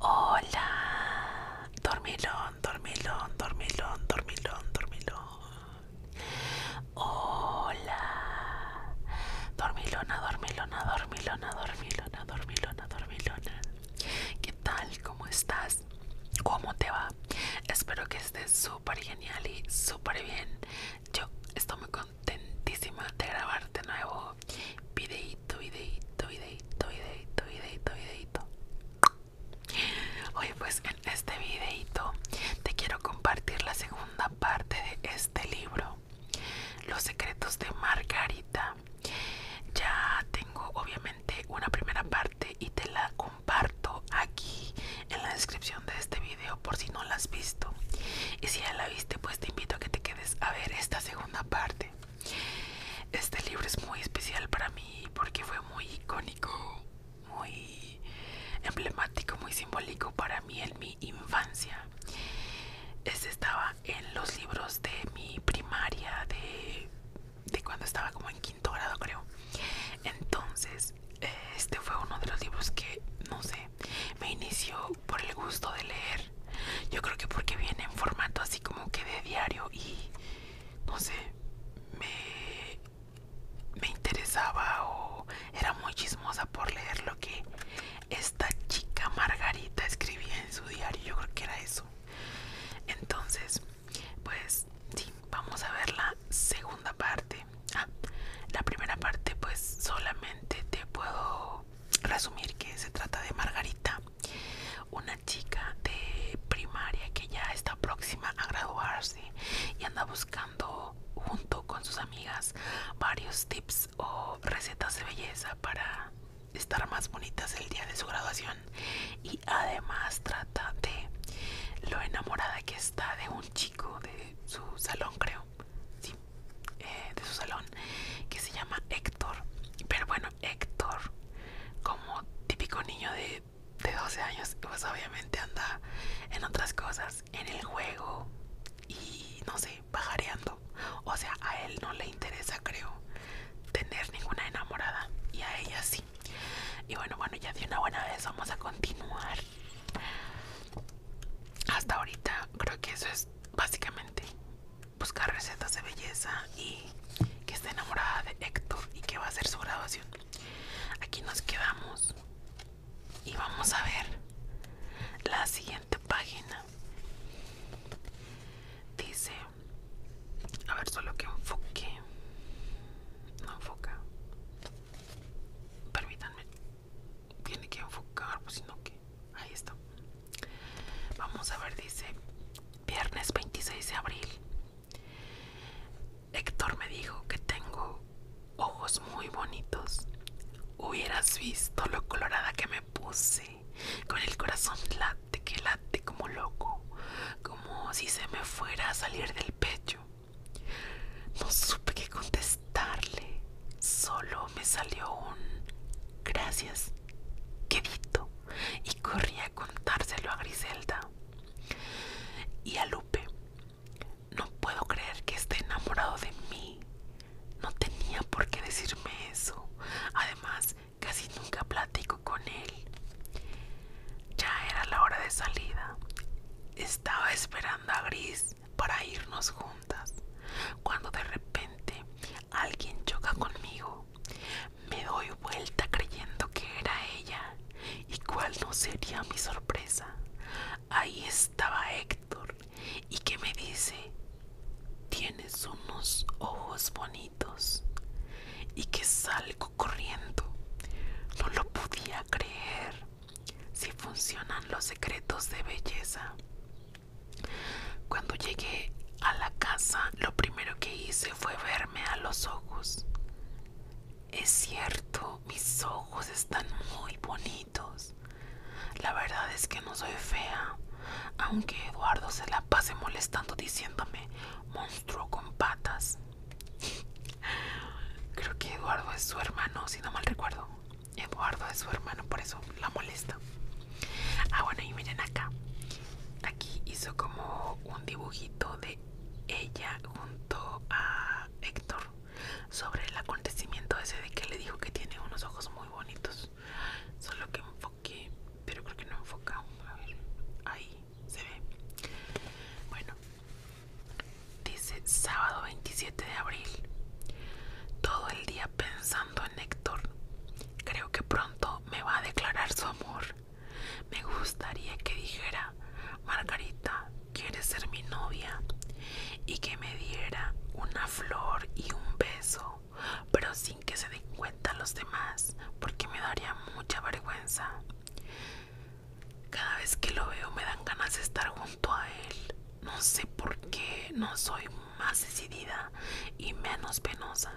Hola, dormilón, dormilón, dormilón, dormilón, dormilón. Hola, dormilona, dormilona, dormilona, dormilona, dormilona, dormilona. ¿Qué tal? ¿Cómo estás? ¿Cómo te va? Espero que estés súper genial y súper bien. Yo estoy muy contenta grabar de grabarte nuevo videito, videito, videito, videito, videito, videito. oye pues en este videito te quiero compartir la segunda parte de este libro, Los secretos de Margarita. Ya tengo obviamente una primera parte y te la comparto aquí en la descripción de este video por si no la has visto. Y si ya la viste, pues te invito a que te quedes a ver esta segunda parte. Este libro es muy especial para mí porque fue muy icónico, muy emblemático, muy simbólico para mí en mi infancia. Este estaba en los libros de mi primaria, de, de cuando estaba como en quinto grado creo. Entonces, este fue uno de los libros que, no sé, me inició por el gusto de leer. Yo creo que porque viene en formato así como que de diario y no sé, me, me interesaba o era muy chismosa por leer lo que esta chica Margarita escribía en su diario. Yo creo que era eso. Entonces, pues sí, vamos a ver la segunda parte. Ah, la primera parte pues solamente te puedo resumir que se trata de Margarita, una chica de primaria que ya está próxima a graduarse y anda buscando junto con sus amigas varios tips o recetas de belleza para estar más bonitas el día de su graduación y además trata de lo enamorada que está de un chico de su salón creo eh, de su salón que se llama Héctor. Pero bueno, Héctor, como típico niño de, 12 años, pues obviamente anda en otras cosas, en el juego y no sé, bajareando. O sea, a él no le interesa, creo, tener ninguna enamorada y a ella sí. Y bueno, bueno, ya de una buena vez vamos a continuar. Hasta ahorita creo que eso es básicamente buscar recetas de belleza y que está enamorada de Héctor y que va a hacer su graduación. Aquí nos quedamos y vamos a ver la siguiente página. Dice, a ver, solo que enfoque. No enfoca. Permítanme. Tiene que enfocar, pues si no que ahí está. Vamos a ver, dice, viernes 26 de abril. Héctor me dijo que tengo ojos muy bonitos. Hubieras visto lo colorada que me puse, con el corazón late que late como loco, como si se me fuera a salir del pecho. No supe qué contestarle. Solo me salió un gracias quedito y corrí a contárselo a Griselda y a Lupe. No puedo creer que esté enamorado de mí. No tenía por qué decirme eso. Además, casi nunca platico con él. Ya era la hora de salida. Estaba esperando a Gris para irnos juntas, cuando de repente Alguien choca conmigo. Me doy vuelta creyendo que era ella. ¿Y cuál no sería mi sorpresa? Ahí estaba Héctor. ¿Y que me dice? Tienes unos ojos bonitos. Y que salgo corriendo. No lo podía creer. Si funcionan los secretos de belleza. Cuando llegué a la casa, lo primero que hice fue verme a los ojos. Es cierto, mis ojos están muy bonitos. La verdad es que no soy fea, aunque Eduardo se la pase molestando diciéndome monstruo con patas. Creo que Eduardo es su hermano, si no mal recuerdo. Eduardo es su hermano, por eso la molesta. Ah, bueno, y miren acá. Aquí hizo como un dibujito de ella junto a Héctor sobre el acontecimiento ese de que le dijo que tiene unos ojos muy bonitos. Solo que enfoqué, pero creo que no enfoca. A ver, ahí se ve. Bueno, dice sábado 27 de abril. Todo el día pensando Creo que pronto me va a declarar su amor. Me gustaría que dijera, Margarita, ¿quieres ser mi novia? Y que me diera una flor y un beso, pero sin que se den cuenta los demás, porque me daría mucha vergüenza. Cada vez que lo veo me dan ganas de estar junto a él. No sé por qué no soy más decidida y menos penosa.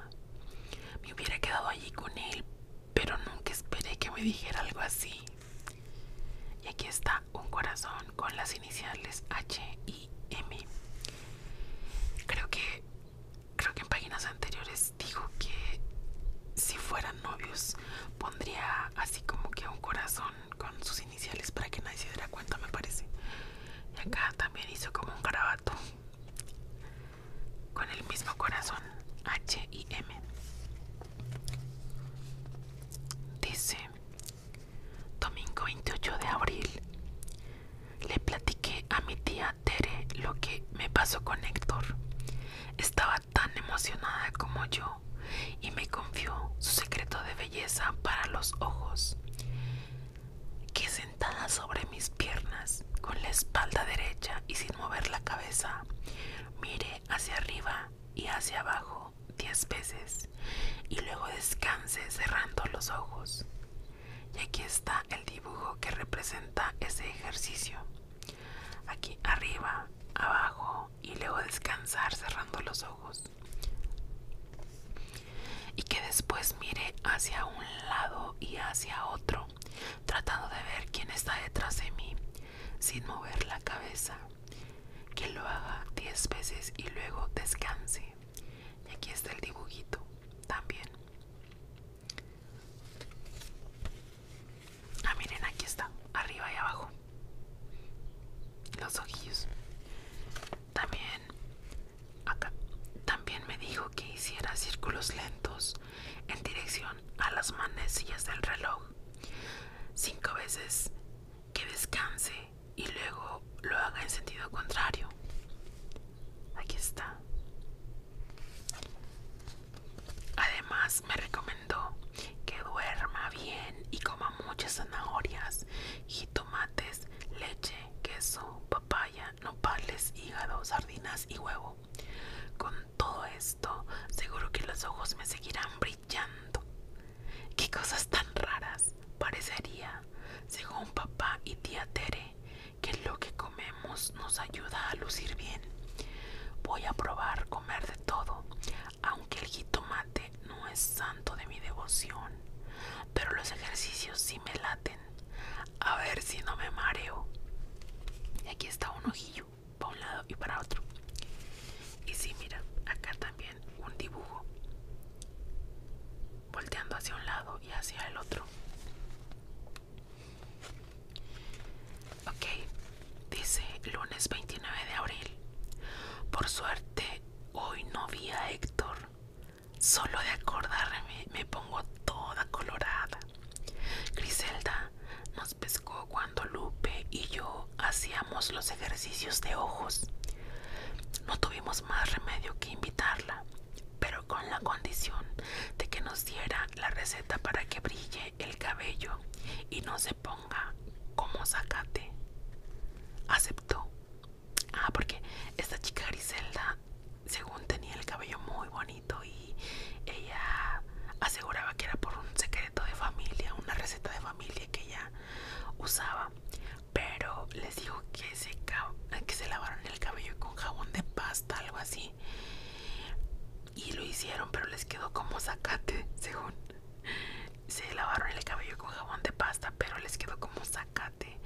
Me hubiera quedado allí con él, pero nunca esperé que me dijera algo así. Y aquí está un corazón con las iniciales H y M. Creo que creo que en páginas anteriores dijo que si fueran novios pondría así como que un corazón con sus iniciales para que nadie se diera cuenta, me parece. Y acá también hizo como un garabato con el mismo corazón H y M. Dice, domingo 28 de abril, le platiqué a mi tía Tere lo que me pasó con Héctor. Estaba tan emocionada como yo y me confió su secreto de belleza para los ojos que sentada sobre mis piernas, con la espalda derecha y sin mover la cabeza, mire hacia arriba y hacia abajo diez veces y luego descanse cerrando los ojos. Y aquí está el dibujo que representa ese ejercicio. Aquí arriba, abajo y luego descansar cerrando los ojos y que después mire hacia un lado y hacia otro, tratando de ver quién está detrás de mí, sin mover la cabeza. Que lo haga 10 veces y luego descanse. Y aquí está el dibujito también. Ah, miren, aquí está, arriba y abajo. Los ojillos. También Acá también me dijo que hiciera círculos lentos en dirección a las manecillas del reloj cinco veces, que descanse y luego lo haga en sentido contrario. Aquí está. Además me recomendó que duerma bien y coma muchas zanahorias, tomates, leche queso, papaya, nopales, hígado, sardinas y huevo. Con todo esto, seguro que los ojos me seguirán brillando. ¡Qué cosas tan raras! Parecería, según papá y tía Tere, que lo que comemos nos ayuda a lucir bien. Voy a probar comer de todo, aunque el jitomate no es santo de mi devoción, pero los ejercicios sí me laten. A ver si no me mareo. Y aquí está un ojillo, para un lado y para otro. Y si mira, acá también un dibujo, volteando hacia un lado y hacia el otro. Ok, dice lunes 29 de abril. Por suerte, hoy no vi a Héctor. Solo de acordarme me pongo toda colorada. Griselda nos pescó cuando Lupe y yo hacíamos los ejercicios de ojos. No tuvimos más remedio que invitarla, pero con la condición de que nos diera la receta para que brille el cabello y no se ponga como zacate. Aceptó Ah, porque esta chica Griselda, según tenía el cabello muy bonito y ella aseguraba que era por un secreto de familia, una receta de familia que ella usaba, pero les dijo que se, que se lavaron el cabello con jabón de pasta, algo así. Y lo hicieron, pero les quedó como zacate, según. Se lavaron el cabello con jabón de pasta, pero les quedó como zacate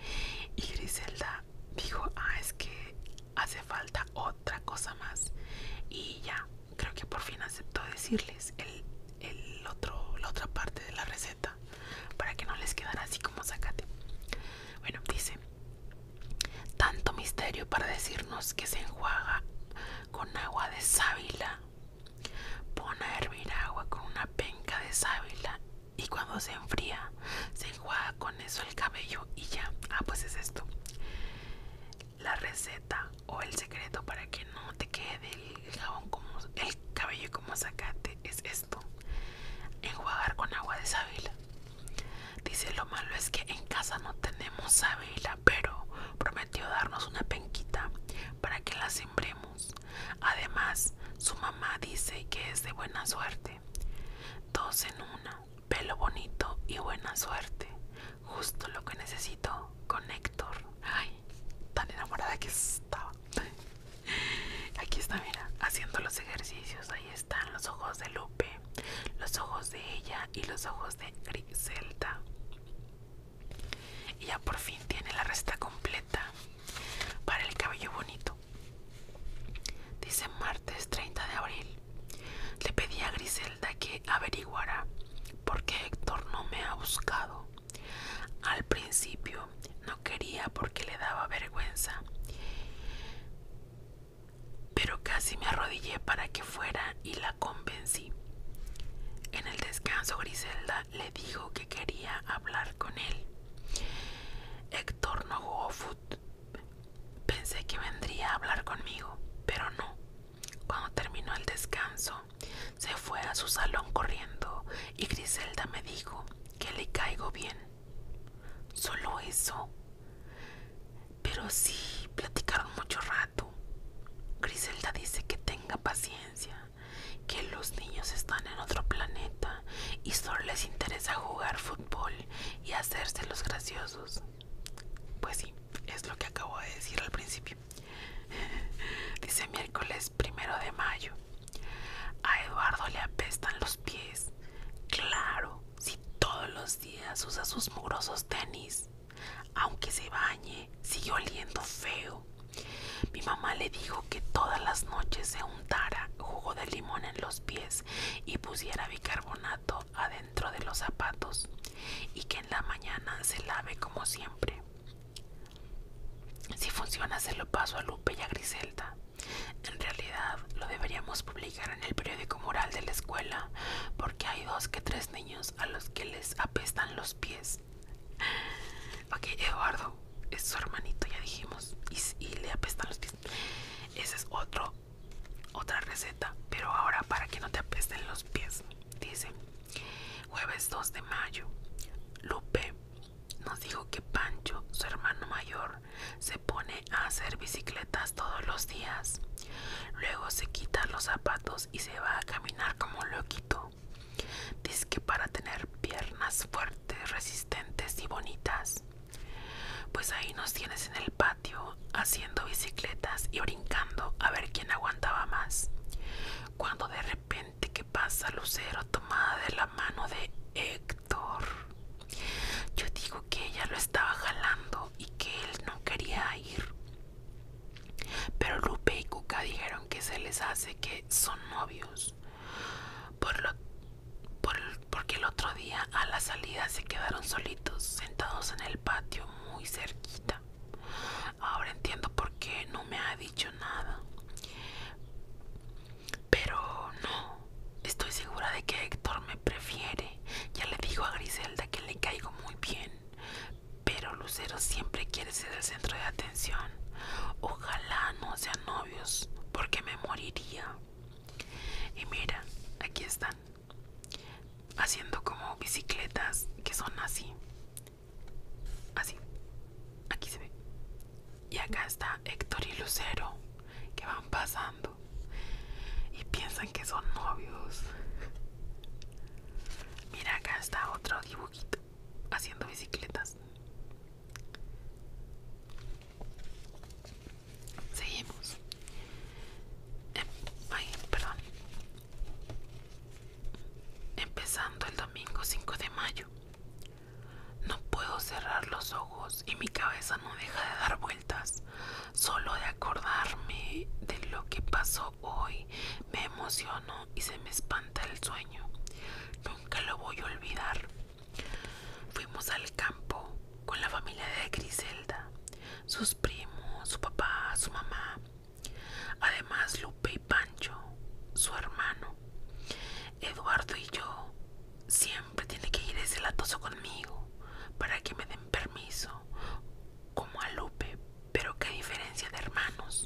y Griselda dijo ah es que hace falta otra cosa más y ya creo que por fin aceptó decirles el, el otro, la otra parte de la receta para que no les quedara así como zacate bueno dice tanto misterio para decirnos que se enjuaga con agua de sábila pon a hervir agua con una penca de sábila y cuando se enfría se enjuaga con eso el cabello y ya. Ah, pues es esto. La receta o el secreto para que no te quede el jabón como el cabello como sacate es esto. Enjuagar con agua de sábila. Dice lo malo es que en casa no tenemos sábila, pero prometió darnos una penquita para que la sembremos. Además, su mamá dice que es de buena suerte. Dos en una, pelo bonito y buena suerte. Justo lo que necesito con Héctor. Ay, tan enamorada que estaba. Aquí está, mira, haciendo los ejercicios. Ahí están los ojos de Lupe, los ojos de ella y los ojos de Griselda. Ella por fin tiene la resta completa para el cabello bonito. Dice martes 30 de abril. Le pedí a Griselda que averiguara por qué Héctor no me ha buscado. Al principio no quería porque le daba vergüenza, pero casi me arrodillé para que fuera y la convencí. En el descanso Griselda le dijo que quería hablar con él. Héctor no jugó Pensé que vendría a hablar conmigo, pero no. Cuando terminó el descanso, se fue a su salón corriendo y Griselda me dijo que le caigo bien. Solo eso. Pero sí, platicaron mucho rato. Griselda dice que tenga paciencia que los niños están en otro planeta y solo les interesa jugar fútbol y hacerse los graciosos. Pues sí, es lo que acabo de decir al principio. Dice miércoles primero de mayo. A Eduardo le apestan los pies. Claro, si todos los días usa sus mugrosos tenis. Aunque se bañe, sigue oliendo feo. Mi mamá le dijo que todas las noches se untara jugo de limón en los pies y pusiera bicarbonato adentro de los zapatos y que en la mañana se lave como siempre. Si funciona se lo paso a Lupe y a Griselda. En realidad lo deberíamos publicar en el periódico moral de la escuela porque hay dos que tres niños a los que les apestan los pies Ok, Eduardo es su hermanito, ya dijimos. Y, le apestan los pies. Esa es otra receta. Pero ahora para que no te apesten los pies. Dice, jueves 2 de mayo. Lupe nos dijo que Pancho, su hermano mayor, se pone a hacer bicicletas todos los días. Luego se quita los zapatos y se va a caminar como loquito. Dices Dice que para tener piernas fuertes, resistentes y bonitas. Pues ahí nos tienes en el patio haciendo bicicletas y brincando a ver quién aguantaba más. Cuando de repente que pasa Lucero tomada de la mano de Héctor. Yo digo que ella lo estaba jalando y que él no quería ir. Pero Lupe y Cuca dijeron que se les hace que son novios por porque el otro día a la salida se quedaron solitos, sentados en el patio, muy cerquita. Ahora entiendo por qué no me ha dicho nada. Pero no, estoy segura de que Héctor me prefiere. Ya le dijo a Griselda que le caigo muy bien. Pero Lucero siempre quiere ser el centro de atención. Ojalá no sea no porque me moriría. Y mira, aquí están, haciendo como bicicletas que son así. Así, aquí se ve. Y acá está Héctor y Lucero, que van pasando y piensan que son novios. Mira, acá está otro dibujito haciendo bicicletas. Seguimos. Em, ay, perdón. Empezando el domingo 5 de mayo. No puedo cerrar los ojos y mi cabeza no deja de dar vueltas. Solo de acordarme de lo que pasó hoy me emociono y se me espanta el sueño. Nunca lo voy a olvidar. Fuimos al campo con la familia de Griselda, sus primos, su papá, su mamá. Además, Lupe y Pancho, su hermano. Eduardo y yo siempre tiene que ir ese latoso conmigo para que me den permiso, como a Lupe, pero qué diferencia de hermanos.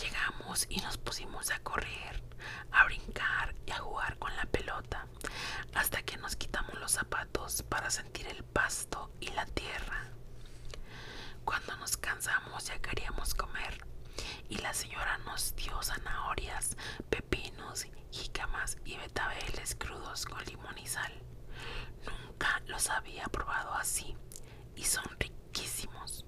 Llegamos y nos pusimos a correr, a brincar y a jugar con la pelota, hasta que nos quitamos los zapatos para sentir el pasto y la tierra. Cuando nos cansamos ya queríamos comer y la señora nos dio zanahorias, pepinos, jícamas y betabeles crudos con limón y sal. Nunca los había probado así y son ricos quisimos.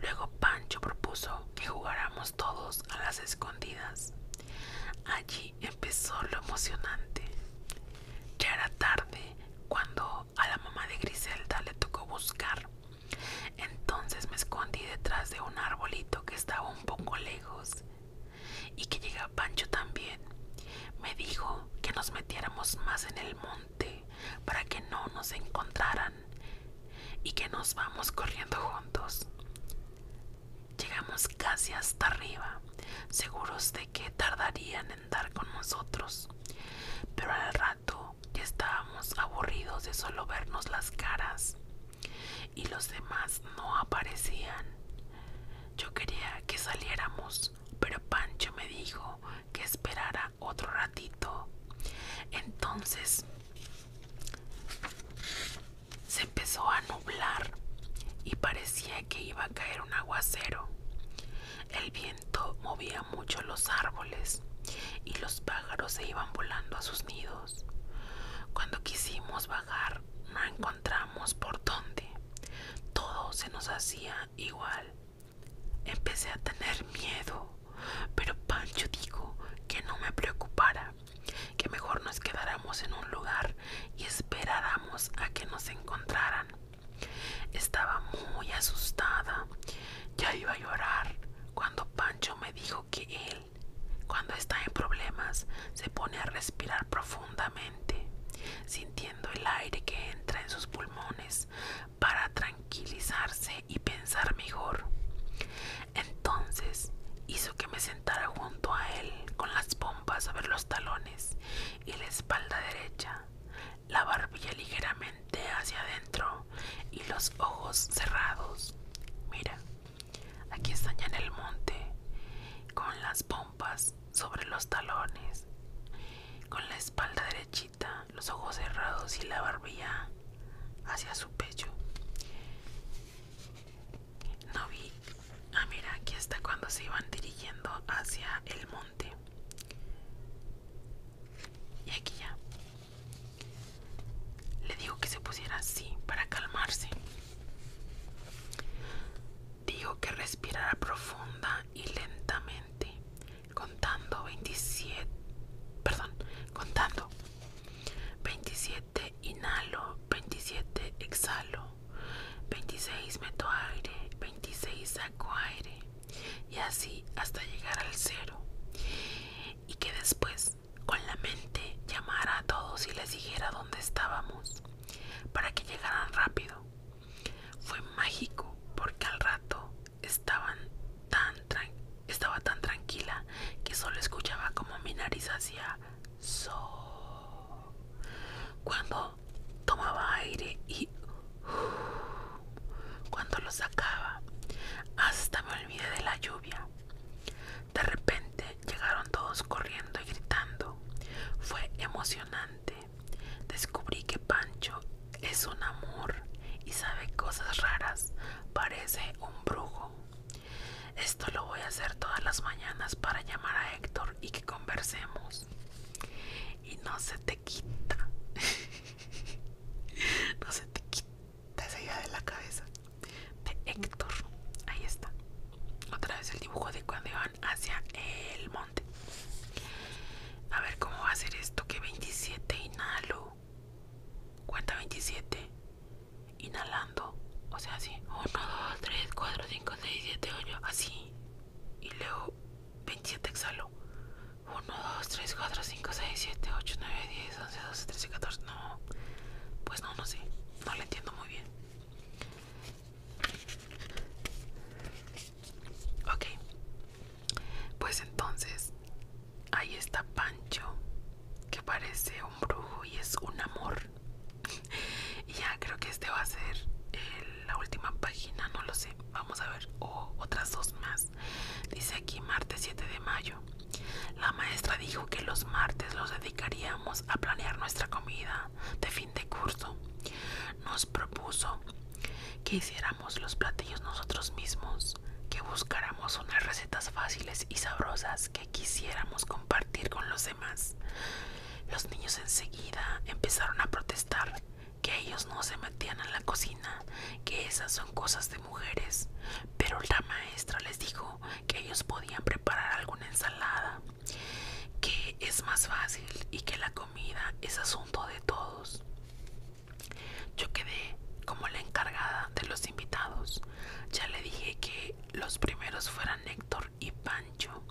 Luego Pancho propuso que jugáramos todos a las escondidas. Allí empezó lo emocionante. Ya era tarde cuando a la mamá de Griselda le tocó buscar. Entonces me escondí detrás de un arbolito que estaba un poco lejos y que llega Pancho también. Me dijo que nos metiéramos más en el monte para que no nos encontraran y que nos vamos corriendo juntos. Llegamos casi hasta arriba, seguros de que tardarían en dar con nosotros, pero al rato ya estábamos aburridos de solo vernos las caras y los demás no aparecían. Yo quería que saliéramos, pero Pancho me dijo que esperara otro ratito. Entonces se empezó a nublar y parecía que iba a caer un aguacero. El viento movía mucho los árboles y los pájaros se iban volando a sus nidos. Cuando quisimos bajar no encontramos por dónde. Todo se nos hacía igual. Empecé a tener miedo, pero Pancho dijo que no me preocupara, que mejor nos quedáramos en un lugar y esperáramos a que nos encontraran. Estaba muy asustada, ya iba a llorar cuando Pancho me dijo que él, cuando está en problemas, se pone a respirar profundamente, sintiendo el aire que entra en sus pulmones para tranquilizarse y pensar mejor. Entonces hizo que me sentara junto a él con las pompas sobre los talones y la espalda derecha, la barbilla ligeramente hacia adentro y los ojos cerrados. Mira, aquí está ya en el monte, con las pompas sobre los talones, con la espalda derecha los ojos cerrados y la barbilla hacia su pecho. No vi. Ah, mira, aquí está cuando se iban dirigiendo hacia el monte. Y aquí ya. Le dijo que se pusiera así para calmarse. Dijo que respirara profunda y lentamente contando 27, perdón, contando 27 inhalo, 27 exhalo, 26 meto aire, 26 saco aire y así hasta llegar al cero y que después con la mente llamara a todos y les dijera dónde estábamos para que llegaran rápido. Fue mágico porque al rato estaba tan tranquila que solo escuchaba como mi nariz hacía so cuando tomaba aire y cuando lo sacaba hasta me olvidé de la lluvia de repente llegaron todos corriendo y gritando fue emocionante descubrí que Pancho es un amor y sabe cosas raras. Parece un brujo. Esto lo voy a hacer todas las mañanas para llamar a Héctor y que conversemos. Y no se te quita. no se te quita esa idea de la cabeza. De Héctor. Ahí está. Otra vez el dibujo de cuando iban hacia el monte. A ver cómo va a ser esto. Que 27 inhalo cuenta 27 inhalando o sea así 1 2 3 4 5 6 7 8 así y luego 27 exhalo 1 2 3 4 5 6 7 8 9 10 11 12 13 14 no pues no no sé no lo entiendo muy bien ok pues entonces, ahí está Pancho, que parece un brujo y es un amor. y ya creo que este va a ser eh, la última página, no lo sé. Vamos a ver, otras dos más. Dice aquí martes 7 de mayo. La maestra dijo que los martes los dedicaríamos a planear nuestra comida de fin de curso. Nos propuso que hiciéramos los platillos nosotros mismos que buscáramos unas recetas fáciles y sabrosas que quisiéramos compartir con los demás. Los niños enseguida empezaron a protestar que ellos no se metían en la cocina, que esas son cosas de mujeres, pero la maestra les dijo que ellos podían preparar alguna ensalada, que es más fácil y que la comida es asunto de todos. Yo quedé como la encargada de los invitados. Ya le dije que los primeros fueran Héctor y Pancho.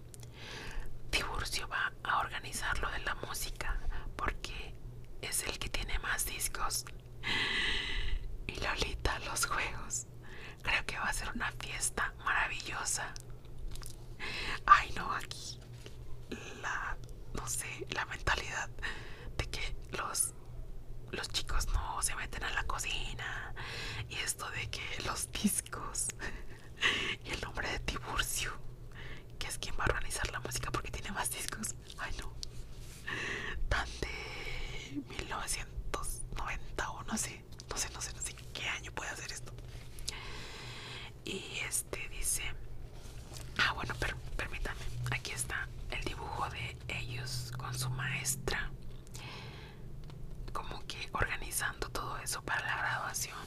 Tiburcio va a organizar lo de la música porque es el que tiene más discos. Y Lolita, los juegos. Creo que va a ser una fiesta maravillosa. Ay, no, aquí la, no sé, la mentalidad de que los, los chicos no se meten a la cocina y esto de que los discos y el nombre de Tiburcio, que es quien va a organizar la música porque tiene más discos, ay no, tan de 1990 o no sé, no sé, no sé, no sé qué año puede hacer esto. Y este dice Ah, bueno, permítame. permítanme. Aquí está el dibujo de ellos con su maestra. Como que organizando todo eso para la graduación.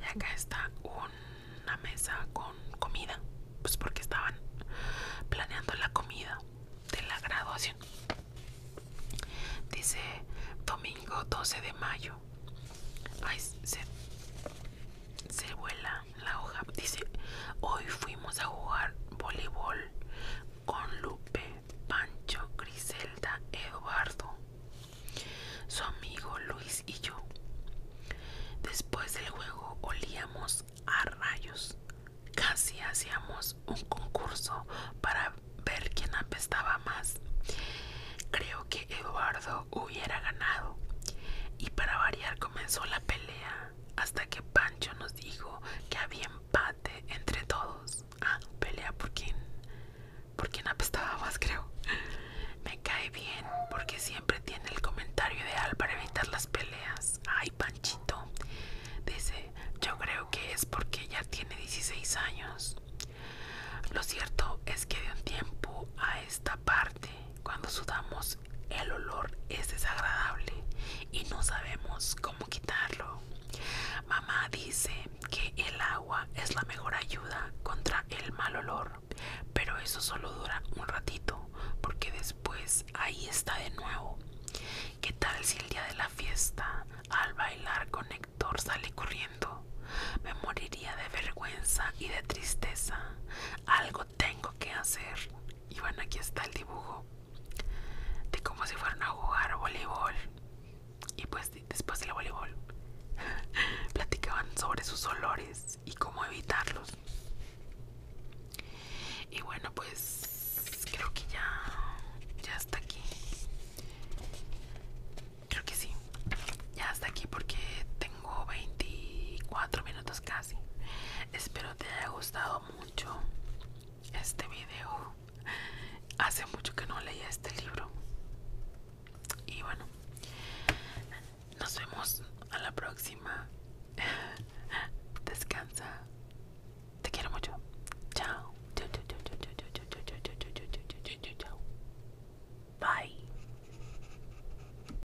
Y acá está una mesa con comida. Pues porque estaban planeando la comida de la graduación. Dice domingo 12 de mayo. Ay, se, se vuela la hoja. Dice, hoy fuimos a jugar voleibol con Lupe, Pancho, Griselda, Eduardo, su amigo Luis y yo. Después del juego olíamos a rayos. Casi hacíamos un concurso para ver quién apestaba más. Creo que Eduardo hubiera ganado. Y para variar comenzó la pelea hasta que Pancho nos dijo que había empate entre todos. Ah, pelea por quién? por quien apestaba más, creo. Me cae bien porque siempre tiene el comentario ideal para evitar las peleas. Ay, Panchito. Dice, yo creo que es porque ya tiene 16 años. Lo cierto es que de un tiempo a esta parte cuando sudamos el olor es desagradable y no sabemos cómo quitarlo. Mamá dice que el agua es la mejor ayuda contra el mal olor, pero eso solo dura un ratito porque después ahí está de nuevo. ¿Qué tal si el día de la fiesta al bailar con Héctor sale corriendo? Me moriría de vergüenza y de tristeza. Algo tengo que hacer. Y bueno, aquí está el dibujo de cómo se fueron a jugar voleibol. Y pues después del voleibol platicaban sobre sus olores y cómo evitarlos. Y bueno, pues creo que ya, ya está aquí. Creo que sí. Ya está aquí porque tengo 24 minutos Cada espero te haya gustado mucho este video hace mucho que no leía este libro y bueno nos vemos a la próxima descansa te quiero mucho chao chao chao chao chao chao chao chao chao chao bye